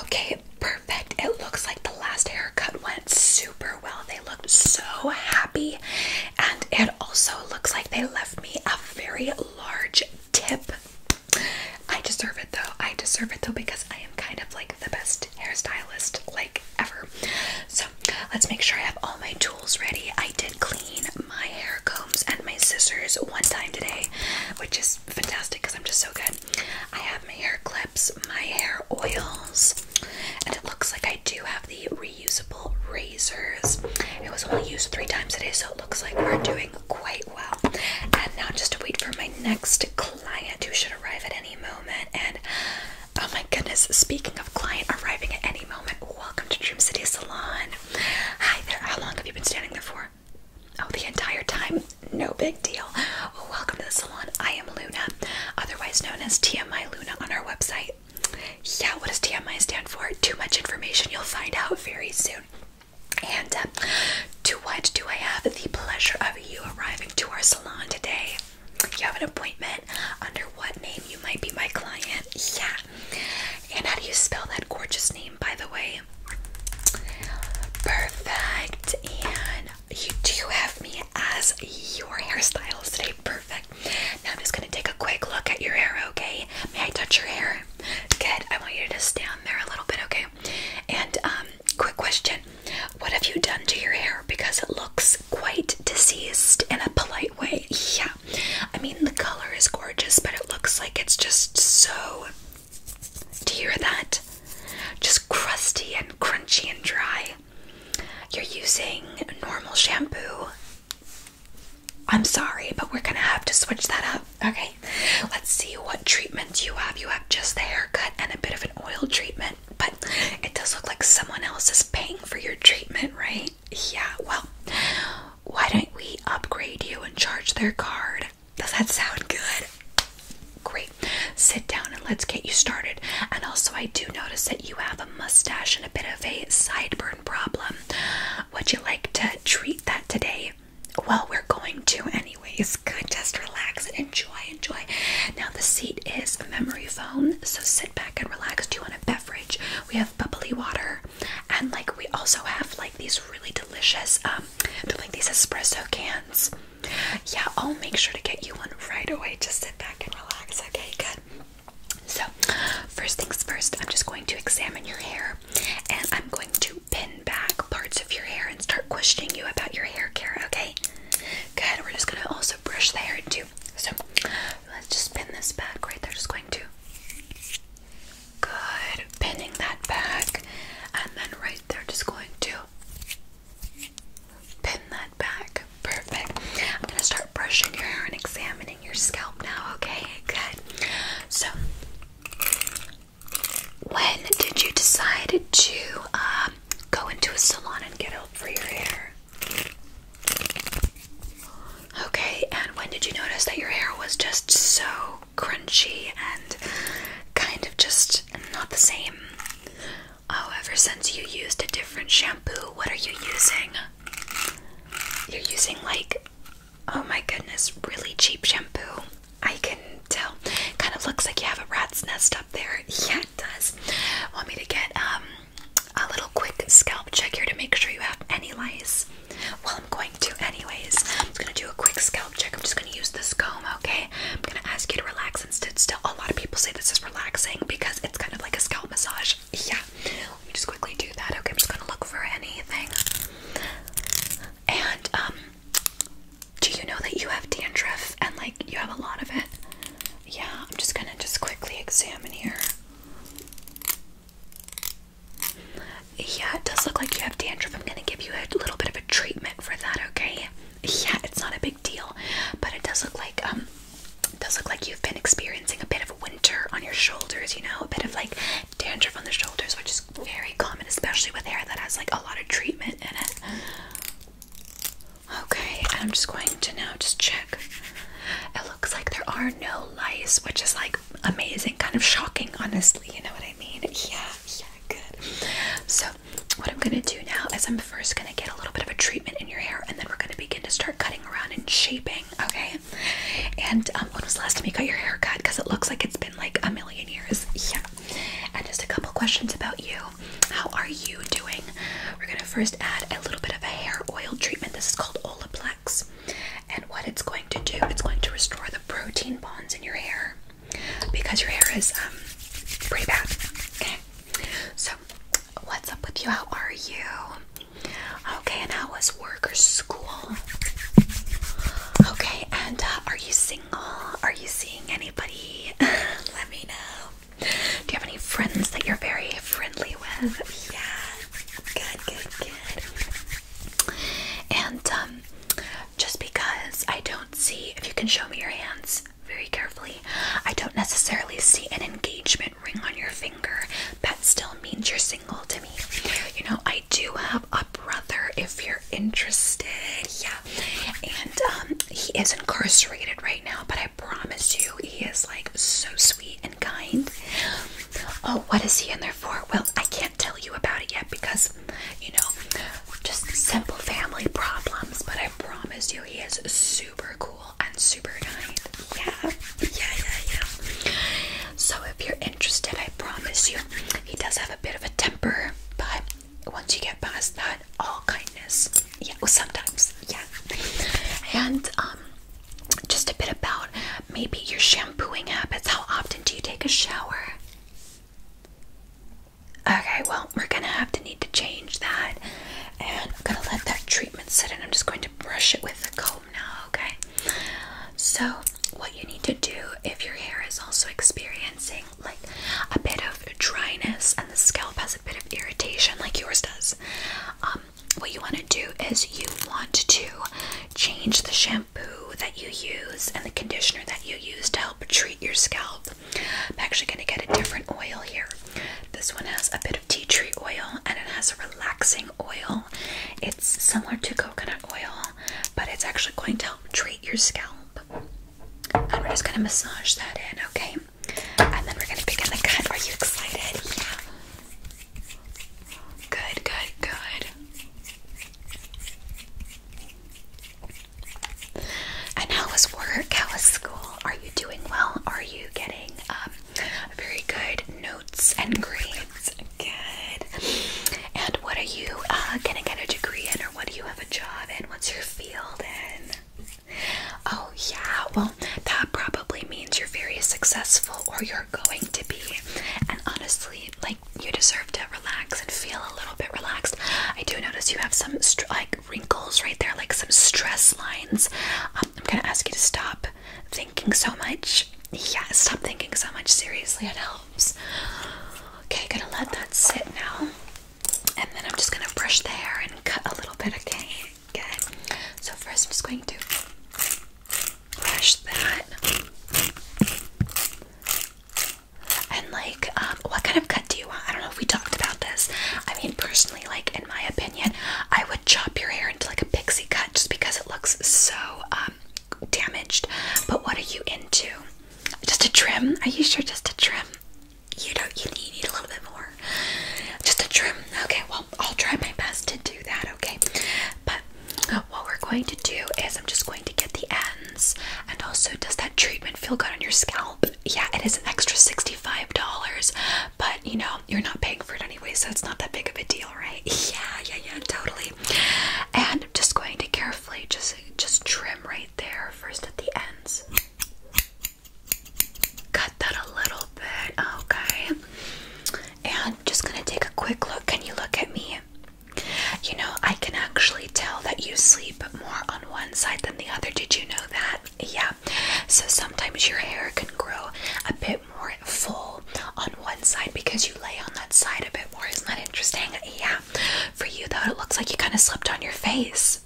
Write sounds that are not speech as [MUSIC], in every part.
Okay, perfect. It looks like the last haircut went super well. They looked so happy, and it also looks like they left me a very large tip. I deserve it though. I deserve it though because I am kind of like the best hairstylist like ever. So let's make sure I have all my tools ready. I did clean my hair combs and my scissors one time today, which is fantastic because I'm just so good. I have my hair clips, my hair oils, and it looks like I do have the reusable razors. It was only used three times today, so it looks like we're doing quite well. And now just to wait for my next client who should arrive at any moment. And oh my goodness, speaking of client arriving at any moment, welcome to Dream City Salon. Hi there, how long have you been standing there for? Oh, the entire time? No big deal. welcome to the salon. I am Luna, otherwise known as TMI Luna on our website. Yeah, what does TMI stand for? Too much information. You'll find out very soon. And um, to what do I have the pleasure of you arriving to our salon today? You have an appointment under what name you might be my client? Yeah. And how do you spell that gorgeous name, by the way? Perfect. And you do have me as your hairstylist today. Perfect. Now I'm just gonna take a quick look at your hair, okay? May I touch your hair? Good. I want you to just stand there a little bit, okay? And um, quick question. What have you done to your hair? Because it looks quite diseased in a polite way. Yeah. I mean the color is gorgeous, but it looks like it's just so do you hear that? Just crusty and crunchy and dry. You're using normal shampoo. I'm sorry, but we're gonna have to switch that up. Okay, let's see what treatments you have. You have just the haircut and a bit of an oil treatment, but it does look like someone else is paying for your treatment, right? Yeah, well, why don't we upgrade you and charge their card does that sound good? Great. Sit down and let's get you started. And also, I do notice that you have a mustache and a bit of a sideburn problem. Would you like to treat that today? Well, we're going to, anyways. [LAUGHS] Just relax enjoy. Enjoy. Now, the seat is memory foam, so sit back and relax. Do you want a beverage? We have bubbly water, and like we also have like these really delicious um, i they're like these espresso cans. Yeah, I'll make sure to get you one right away. Just sit back and relax. Okay, good. So, first things first, I'm just going to examine your hair and I'm going to pin back parts of your hair and start questioning you about your hair care, okay? Good, we're just gonna also brush the hair too. So, let's just pin this back right there. Just going to Good. Pinning that back. And then right there, just going to pin that back. Perfect. I'm going to start brushing your hair and examining your scalp now, okay? Good. So, when did you decide to um, go into a salon and get help for your hair? Okay, and when did you notice that your hair was just so crunchy and kind of just not the same. Oh, ever since you used a different shampoo, what are you using? You're using like, oh my goodness, really cheap shampoo. I can tell. Kind of looks like you have a rat's nest up there. [LAUGHS] Yeah, it does. Want me to get um a little quick scalp check here to make sure you have any lice? Well, I'm going to anyways. I'm gonna do a quick scalp check. I'm just gonna use this comb, okay? I'm gonna ask you to relax and sit still. A lot of people say this is relaxing because it's kind of like a scalp massage. Yeah. Let me just quickly do that. Okay, I'm just gonna look for anything. And um do you know that you have dandruff and like you have a lot of it? Yeah, I'm just gonna just quickly examine here. Yeah, it does look like you have dandruff. I'm gonna give you a little bit of a treatment for that, okay? Yeah, it's not a big deal, but it does look like um does look like you've been experiencing a bit of winter on your shoulders, you know, a bit of like dandruff on the shoulders, which is very common, especially with hair that has like a lot of treatment in it. Okay, and I'm just going to now just check. It looks like there are no lice, which is like amazing, kind of shocking, honestly, you know what I mean? Yeah yeah, good. So, what I'm gonna do now is I'm first gonna get a little bit of a treatment in your hair, and then we're gonna begin to start cutting around and shaping. Okay. And um, when was the last time you got your hair cut? Because it looks like it's been like a million years. Yeah. And just a couple questions about you. How are you doing? We're gonna first add a little bit of a hair oil treatment. This is called Olaplex. And what it's going to do, it's going to restore the protein bonds in your hair because your hair is um pretty bad. Okay. So, what's up with you? How are you? Okay, and how was work or school? Okay, and uh, are you single? Are you seeing anybody? [LAUGHS] Let me know. Do you have any friends that you're very friendly with? Yeah. Good, good, good. And um just because I don't see, if you can show me your hands very carefully, I don't necessarily see an engagement ring on your finger. That still means you're single to me. You know, I do have a brother if you're interested. Yeah. And um, he is incarcerated right now, but I promise you, he is like so sweet and kind. Oh, what is he in there for? Well, I can't tell you about it yet because you know, just simple family problems. But I promise you, he is super cool and super kind. Yeah, yeah, yeah, yeah. So if you're interested, I promise you, he does have a bit of a temper, but once you get past that, all kindness. Yeah, well, sometimes, yeah. And um, just a bit about maybe your shampooing habits. How often do you take a shower? Okay, well, we're gonna have to need to change that. And I'm gonna let that treatment sit and I'm just going to brush it with the comb now, okay? So, what you need to do if your hair is also experiencing like a bit of dryness and the scalp has a bit of irritation, like yours does, um, what you want to do is you want to change the shampoo shampoo that you use and the conditioner that you use to help treat your scalp. I'm actually going to get a different oil here. This one has a bit of tea tree oil and it has a relaxing oil. It's similar to coconut oil, but it's actually going to help treat your scalp. And we're just going to massage that in, okay? And then we're going to begin the cut. Are you excited? Yeah. Good, good, good. And how was work? How was school? Are you doing well? Are you getting um, very good notes and grades? Good. And what are you uh, gonna get a degree in, or what do you have a job in? What's your field in? Oh, yeah, well, that probably means you're very successful or you're going to be. And honestly, like, you deserve to relax and feel a little bit relaxed. I do notice you have some like wrinkles right there, like some stress lines. Um, I'm gonna ask you to stop thinking so much. Yeah, stop thinking so much. Seriously, it helps. Okay, gonna let that sit now, and then I'm just gonna brush the hair and cut a little bit. Okay, good. So first, I'm just going to brush that. And like, um, what kind of cut do you want? I don't know if we talked about this. I mean, personally, like in my opinion, I would chop your hair into like a pixie cut just because it looks so um, damaged. But what are you into? Just a trim? Are you sure? Just a trim? You don't. need, you need a little bit more. Just a trim. Okay. Well, I'll try my best to do that. Okay. But what we're going to do is I'm just going to get the ends. And also, does that treatment feel good on your scalp? Yeah, it is an extra $65, but you know, you're not paying for it anyway, so it's not that big of a deal, right? [LAUGHS] Yeah, yeah, yeah, totally. And I'm just going to carefully just just trim right there first at the ends. Cut that a little bit, okay. And just gonna take a quick look. Can you look at me? You know, I can actually tell that you sleep more on one side than the other. Did you know that? Yeah. So sometimes your hair can grow a bit more full on one side because you lay on that side a bit more. Isn't that interesting? Yeah. For you, though, it looks like you kind of slept on your face.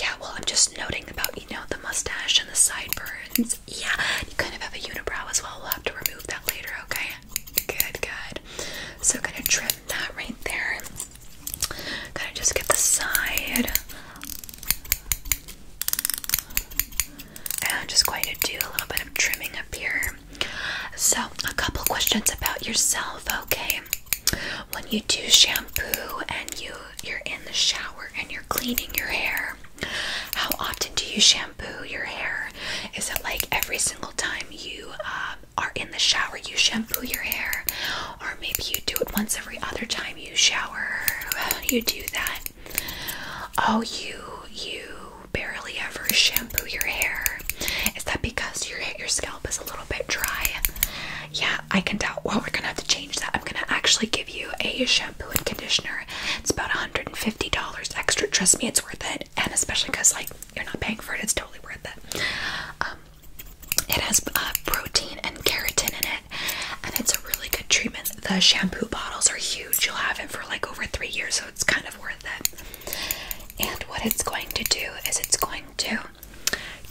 Yeah, well, I'm just noting about, you know, the mustache and the sideburns. Yeah, you kind of have a unibrow as well. We'll have to remove that later, okay? Good, good. So gonna trim that right there. Gotta just get the side. And I'm just going to do a little bit of trimming up here. So, a couple questions about yourself, okay? When you do shampoo and you you're in the shower and you're cleaning your hair, how often do you shampoo your hair? Is it like every single time you uh, are in the shower, you shampoo your hair, or maybe you do it once every other time you shower. [SIGHS] You do that. Oh, you you barely ever shampoo your hair. Is that because your your scalp is a little bit dry? Yeah, I can tell. Well, we're gonna have to change that. I'm gonna actually give you a shampoo and conditioner. It's about $150 extra. Trust me, it's worth it and especially because like you're not paying for it, it's totally worth it. Um, it has uh, protein and keratin in it, and it's a really good treatment. The shampoo bottles are huge; you'll have it for like over three years, so it's kind of worth it. And what it's going to do is it's going to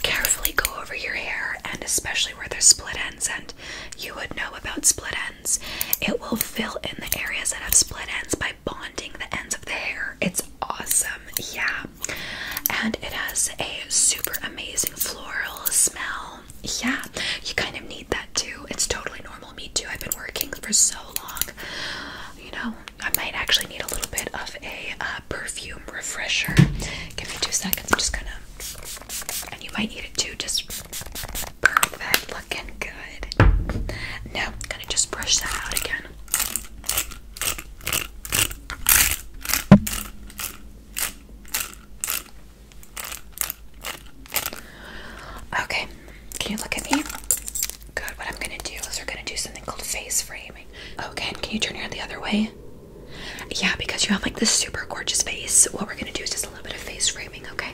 carefully go over your hair, and especially where there's split ends, and you would know about split ends. It will fill in the areas that have split ends by bonding the ends of the hair. It's awesome. Yeah. And it has a super amazing floral smell. Yeah. You kind of need that too. It's totally normal. Me too. I've been working for so long. You know, I might actually need a little bit of a uh, perfume refresher. Give me two seconds. I'm just gonna. And you might need it too. Just perfect. Looking good. Now, I'm gonna just brush that out again. Okay, can you look at me? Good, what I'm gonna do is we're gonna do something called face framing. Okay, oh, can you turn your head the other way? Yeah, because you have like this super gorgeous face, what we're gonna do is just a little bit of face framing, okay?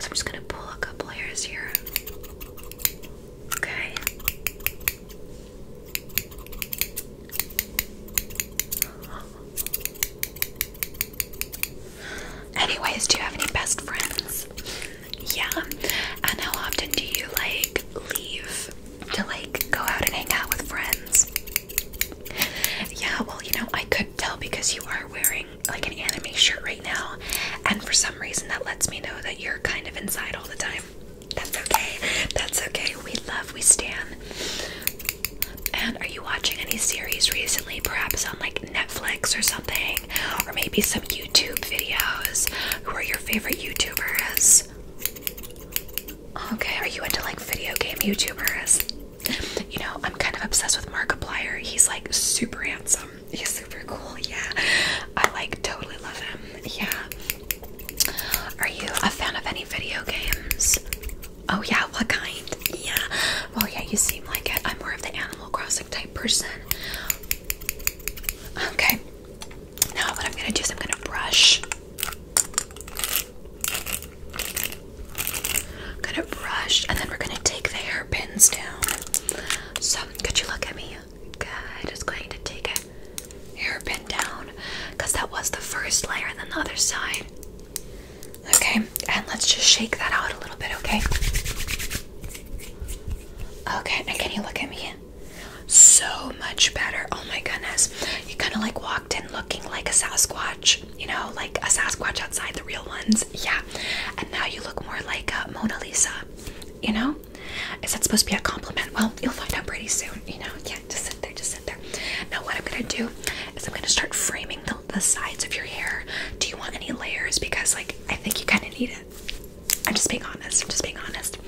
So I'm just gonna pull a couple hairs here. Okay. Anyways, do you have any best friends? Yeah. And how often do you like leave to like go out and hang out with friends? Yeah, well, you know, I could tell because you are wearing like an anime shirt right now, and for some reason that lets me know that you're kind of inside all the time. That's okay. That's okay. We love, we stand. And are you watching any series recently? Perhaps on like Netflix or something, or maybe some YouTube videos. Who are your favorite YouTubers? Okay, are you into like video game YouTubers? You know, I'm kind of obsessed with Markiplier. He's like super handsome. He's super cool. Yeah. I like totally love him. Yeah. Are you a fan of any video games? Oh yeah, what kind? Yeah. Well yeah, you seem like it. I'm more of the Animal Crossing type person. Okay. Now what I'm gonna do is I'm gonna brush. I'm gonna brush and then we're gonna take the hairpins down. So could you look at me? I'm Just going to take a hairpin down because that was the first layer and then the other side. Okay, and let's just shake that out a little bit, okay? Okay, now can you look at me? So much better. Oh my goodness. You kind of like walked in looking like a Sasquatch, you know, like a Sasquatch outside the real ones. Yeah. And now you look more like a uh, Mona Lisa, you know? Is that supposed to be a compliment? Well, you'll find out pretty soon, you know. Yeah, just sit there, just sit there. Now, what I'm gonna do is I'm gonna start framing the, sides of your hair. Do you want any layers? Because, like, I think you kind of need it. I'm just being honest. I'm just being honest.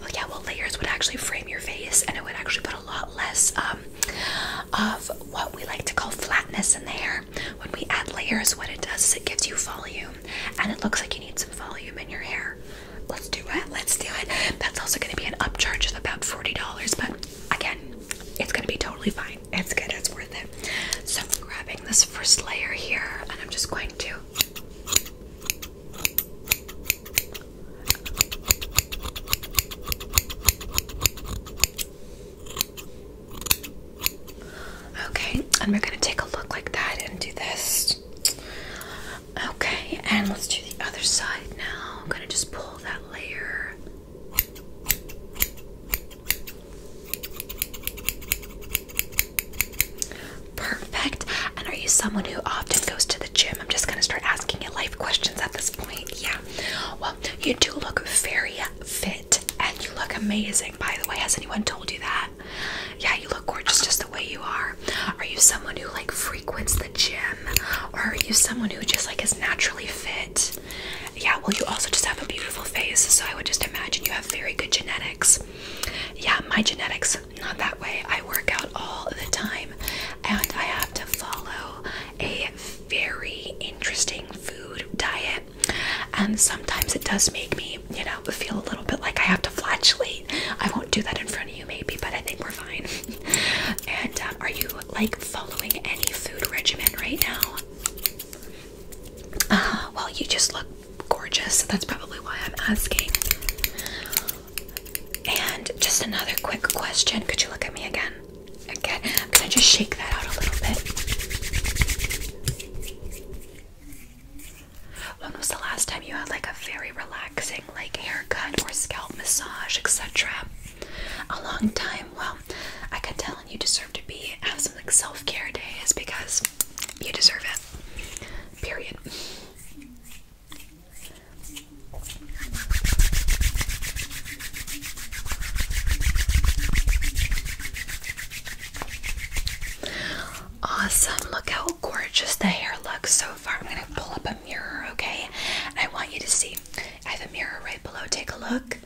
Well, yeah, well, layers would actually frame your face, and it would actually put a lot less um, of what we like to call flatness in the hair. When we add layers, what it does is it gives you volume and it looks like you need some volume in your hair. Let's do it. Let's do it. That's also going to be an upcharge of about $40, but again, it's going to be totally fine. It's good. It's worth it. So I'm grabbing this first layer here and I'm just going to Okay, and we're gonna take a look like that and do this. Okay, and let's do the other side now. I'm gonna just pull that layer. Perfect. And are you someone who often goes to the gym? I'm just gonna start asking you life questions at this point. Yeah. Well, you do look very fit and you look amazing, by the way. Has anyone told you that? Yeah, you look gorgeous just the way you are. Are you someone who like frequents the gym? Or are you someone who just like is naturally fit? Yeah, well, you also just have a beautiful face, so I would just imagine you have very good genetics. Yeah, my genetics, not that way. I work out all the time, and I have to follow a very interesting food diet and sometimes it does make me, you know, feel a little bit like I have to flatulate. I won't do that in front of you, maybe, but I think we're fine. [LAUGHS] and um, are you like following any food regimen right now? Uh, well, you just look gorgeous. So that's probably why I'm asking. And just another quick question. Could you look at me again? Again, i just shake that out a little bit. When was the last time you had like a very relaxing like haircut or scalp massage, etc.? A long time. Well, I can tell and you deserve to be have some like self-care days because you deserve it. Period. Awesome. Look how gorgeous the hair looks so far. I'm going to pull up a mirror, okay? I want you to see. I have a mirror right below. Take a look.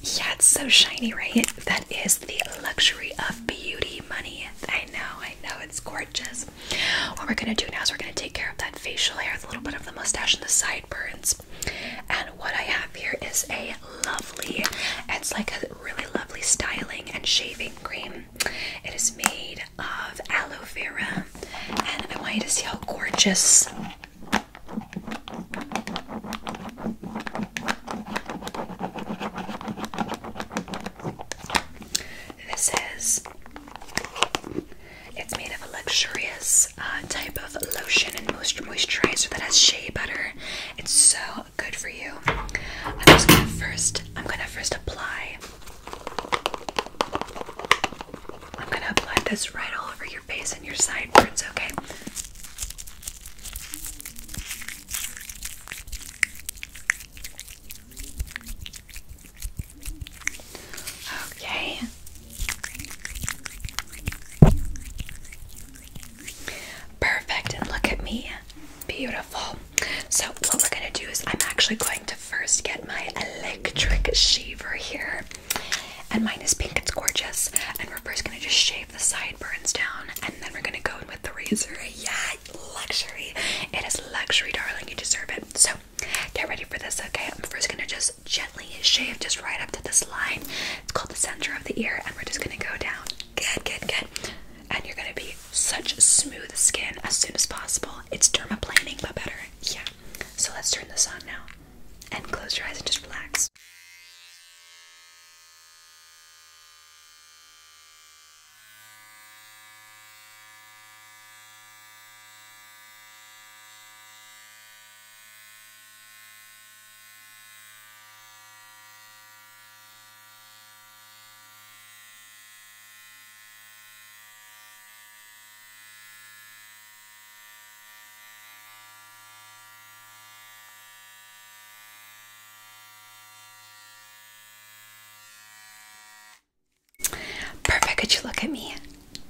Yeah, it's so shiny, right? That is the luxury of beauty money. I know, I know, it's gorgeous. What we're gonna do now is we're gonna take care of that facial hair, the little bit of the mustache and the sideburns. And what I have here is a lovely. It's like a really lovely styling and shaving cream. It is made of aloe vera, and I want you to see how gorgeous this is. It's made of a luxurious uh, type of lotion and moisturizer that has shea butter. It's so good for you. I'm just gonna first, I'm gonna first apply. I'm gonna apply this right all over your face and your sideburns, okay? Okay. Perfect, and look at me. Beautiful. So, what we're going to do is I'm actually going to first get my electric shaver here. And mine is pink, it's gorgeous. And we're first going to just shave the sideburns down, and then we're going to go in with the razor. Yeah, luxury. It is luxury, darling. You deserve it. So, get ready for this, okay? I'm first going to just gently shave just right up to this line it's called the center of the ear, and we're just gonna go down. Good, good, good. And you're gonna be such smooth skin as soon as possible. It's dermaplaning, but better. Yeah. So let's turn this on now. And close your eyes and just relax. Perfect. Could you look at me?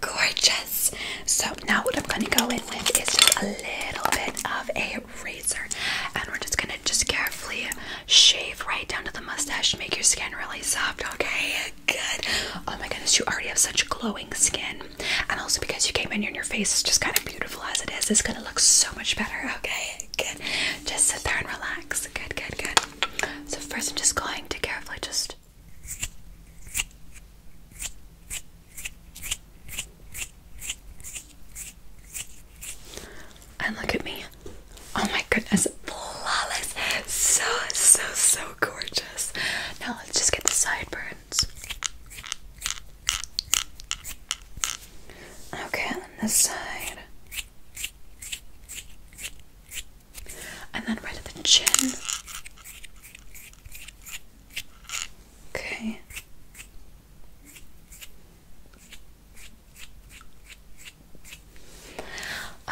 Gorgeous. So now what I'm going to go in with is just a little bit of a razor and we're just gonna just carefully shave right down to the mustache make your skin really soft okay good oh my goodness you already have such glowing skin and also because you came in here and your face is just kind of beautiful as it is it's gonna look so much better okay good just sit there and relax good good good so first i'm just going to carefully just and look at me. Oh my goodness, flawless. So, so, so gorgeous. Now let's just get the sideburns. Okay, on this side. And then right at the chin. Okay.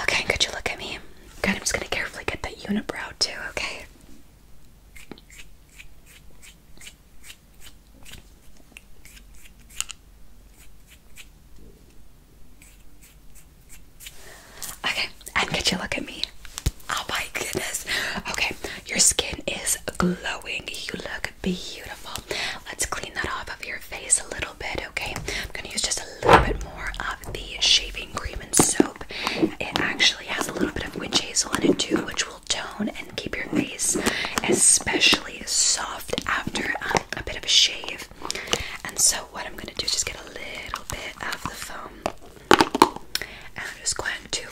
Okay, could you look at me? Okay, I'm just gonna carefully get that unibrow too, okay? Okay, and could you look at me? Oh my goodness. Okay, your skin is glowing. You look beautiful. Let's clean that off of your face a little bit, okay? I'm gonna use just a little bit more of the shaving cream and soap. It actually has a little bit of witch hazel in it too, which will tone and keep your face especially soft after um, a bit of a shave. And so, what I'm gonna do is just get a little bit of the foam, and I'm just going to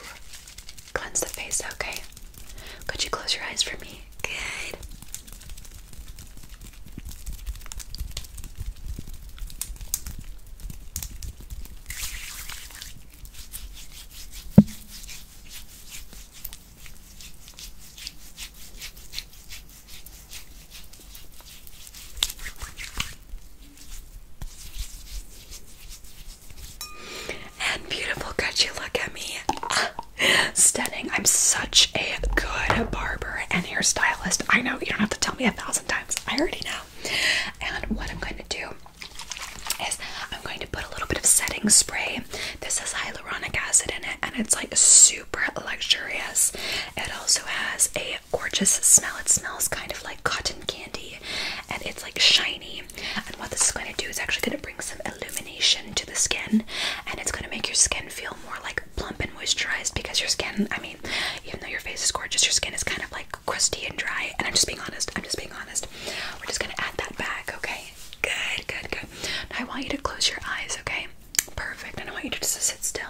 Cleanse the face, okay? Could you close your eyes for me? Good. And beautiful, could you look at me? Ah, stunning. I'm such a good barber and stylist. I know you don't have to tell me a thousand times. I already know. And what I'm going to do is I'm going to put a little bit of setting spray. This has hyaluronic acid in it and it's like super luxurious. It also has a gorgeous smell. It smells kind of like cotton candy and it's like shiny and what this is going to do is actually going to bring some illumination to the skin and it's going to make your skin feel more like plump and moisturized because your skin, I mean, even though your face is gorgeous, your skin is kind of like crusty and dry. And I'm just being honest, I'm just being honest. We're just going to add that back, okay? Good, good, good. I want you to close your eyes, okay? Perfect. And I want you to just sit still.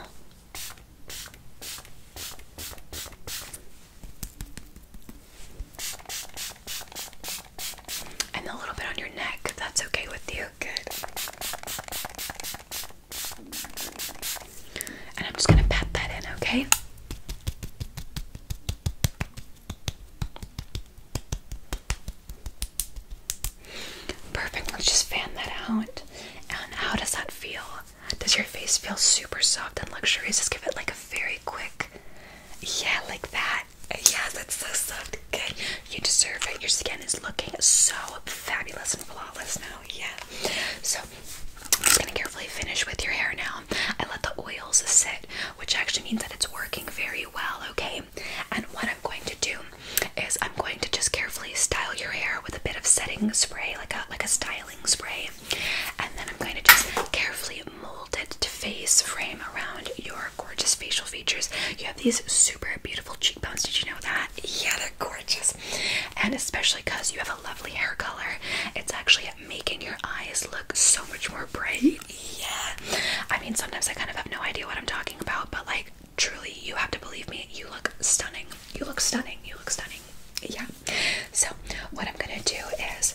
And a little bit on your neck. That's okay with you. Good. And I'm just going to pat that in, okay? Perfect. Let's just fan that out. And how does that feel? Does your face feel super soft and luxurious? Just give it like a very quick yeah, like that. Yeah, that's so soft. Good. You deserve it. Your skin is looking so fabulous and flawless now. Yeah. So I'm just gonna carefully finish with your hair now. I let the oils sit, which actually means that it's working very well, okay? And what I'm going to do is I'm going to just carefully style your hair with a bit of setting spray, like a like a styling spray, and then I'm going to just carefully Molded to face frame around your gorgeous facial features. You have these super beautiful cheekbones. Did you know that? Yeah, they're gorgeous. And especially because you have a lovely hair color, it's actually making your eyes look so much more bright. Yeah. I mean, sometimes I kind of have no idea what I'm talking about, but like, truly, you have to believe me, you look stunning. You look stunning. You look stunning. Yeah. So, what I'm gonna do is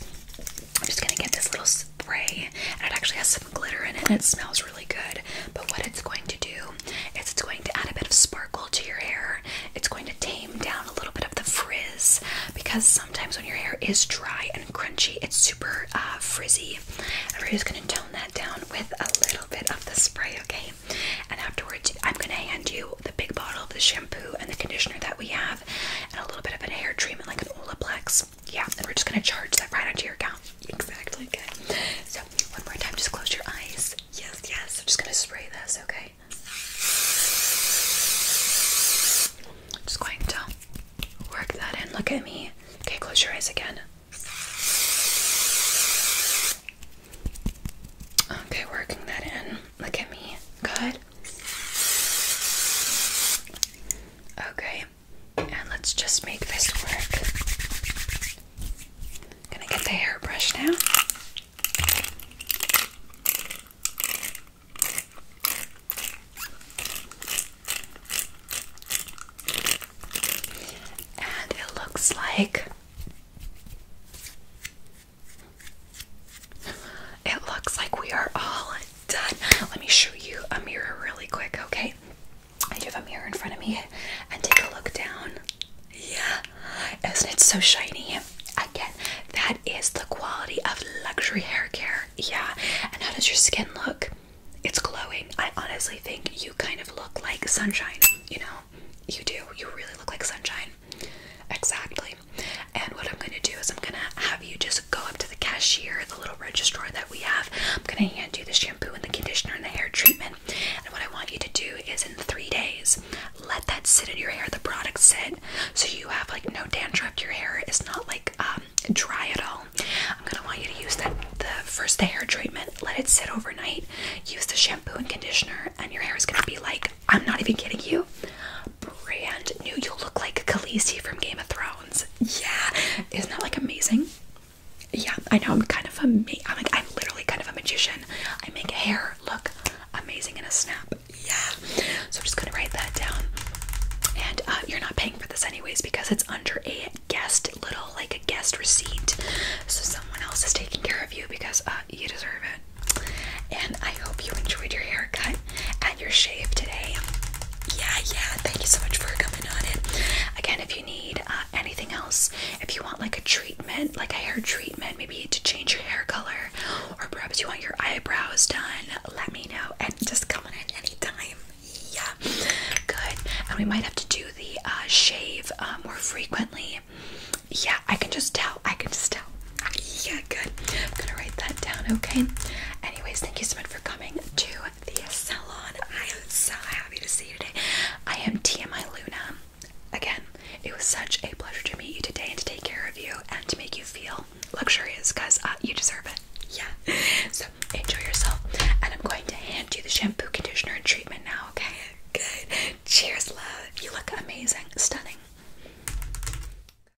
I'm just gonna get this little spray, and it actually has some glitter in it, it smells really good. But what it's going to do is it's going to add a bit of sparkle to your hair. It's going to tame down a little bit of the frizz because sometimes when your hair is dry and crunchy, it's super uh, frizzy. And we're just gonna tone that down with a little bit of the spray, okay? And afterwards, I'm gonna hand you the big bottle of the shampoo and the conditioner that we have and a little bit of a hair treatment like an Olaplex. Yeah, and we're just gonna charge that right onto your account. Exactly. Okay. So one more time, just close your eyes. Yes, yes. I'm just gonna spray this. Okay. I'm Just going to work that in. Look at me. Okay, close your eyes again. Okay, working that in. Look at me. Good. Okay, and let's just make this work. I'm gonna get the hairbrush now. And it looks like it looks like we are all done. Let me show you a mirror really quick, okay? I do have a mirror in front of me and take a look down. Yeah, isn't it so shiny? Again, that is the quality of luxury hair care. Yeah, and how does your skin look? It's glowing. I honestly think you kind of look like sunshine, you know? You do. You really look like sunshine. Exactly. And what I'm gonna do is I'm gonna have you just go up to the cashier, the little register that we have. I'm gonna hand you the shampoo and the conditioner and the hair treatment. And what I want you to do is in three days, let that sit in your hair, the product sit, so you have like no dandruff. Your hair is not like um, dry at all. I'm gonna want you to use that the first day hair treatment, let it sit overnight, use the shampoo and conditioner, and your hair is gonna be like, I'm not even kidding you, brand new. You look like Khaleesi from Game of Thrones. Yeah, isn't that like amazing? Yeah, I know. I'm kind of a am like I'm literally kind of a magician. I make hair look amazing in a snap. Yeah. So I'm just gonna write that down. And uh, you're not paying for this anyways because it's under a guest little like a guest receipt. So someone else is taking care of you because uh, you deserve it. And I hope you enjoyed your haircut at your shave today. Yeah, yeah. Thank you so much for coming on it. Again, if you need uh, anything else, if you want like a treatment, like a hair treatment, maybe to change your hair color, or perhaps you want your eyebrows done, let me know and just come on in anytime. Yeah, good. And we might have to do the uh, shave uh, more frequently. Yeah, I can just tell. I can just tell. Yeah, good. I'm gonna write that down, okay? Anyways, thank you so much for coming to the salon. I am so happy to see you today. I am TMI Luna. Again, it was such a pleasure to meet you today and to take care of you and to make you feel luxurious because uh, you deserve it. Yeah. So enjoy yourself. And I'm going to hand you the shampoo, conditioner, and treatment now, okay? Good. Cheers, love. You look amazing. Stunning.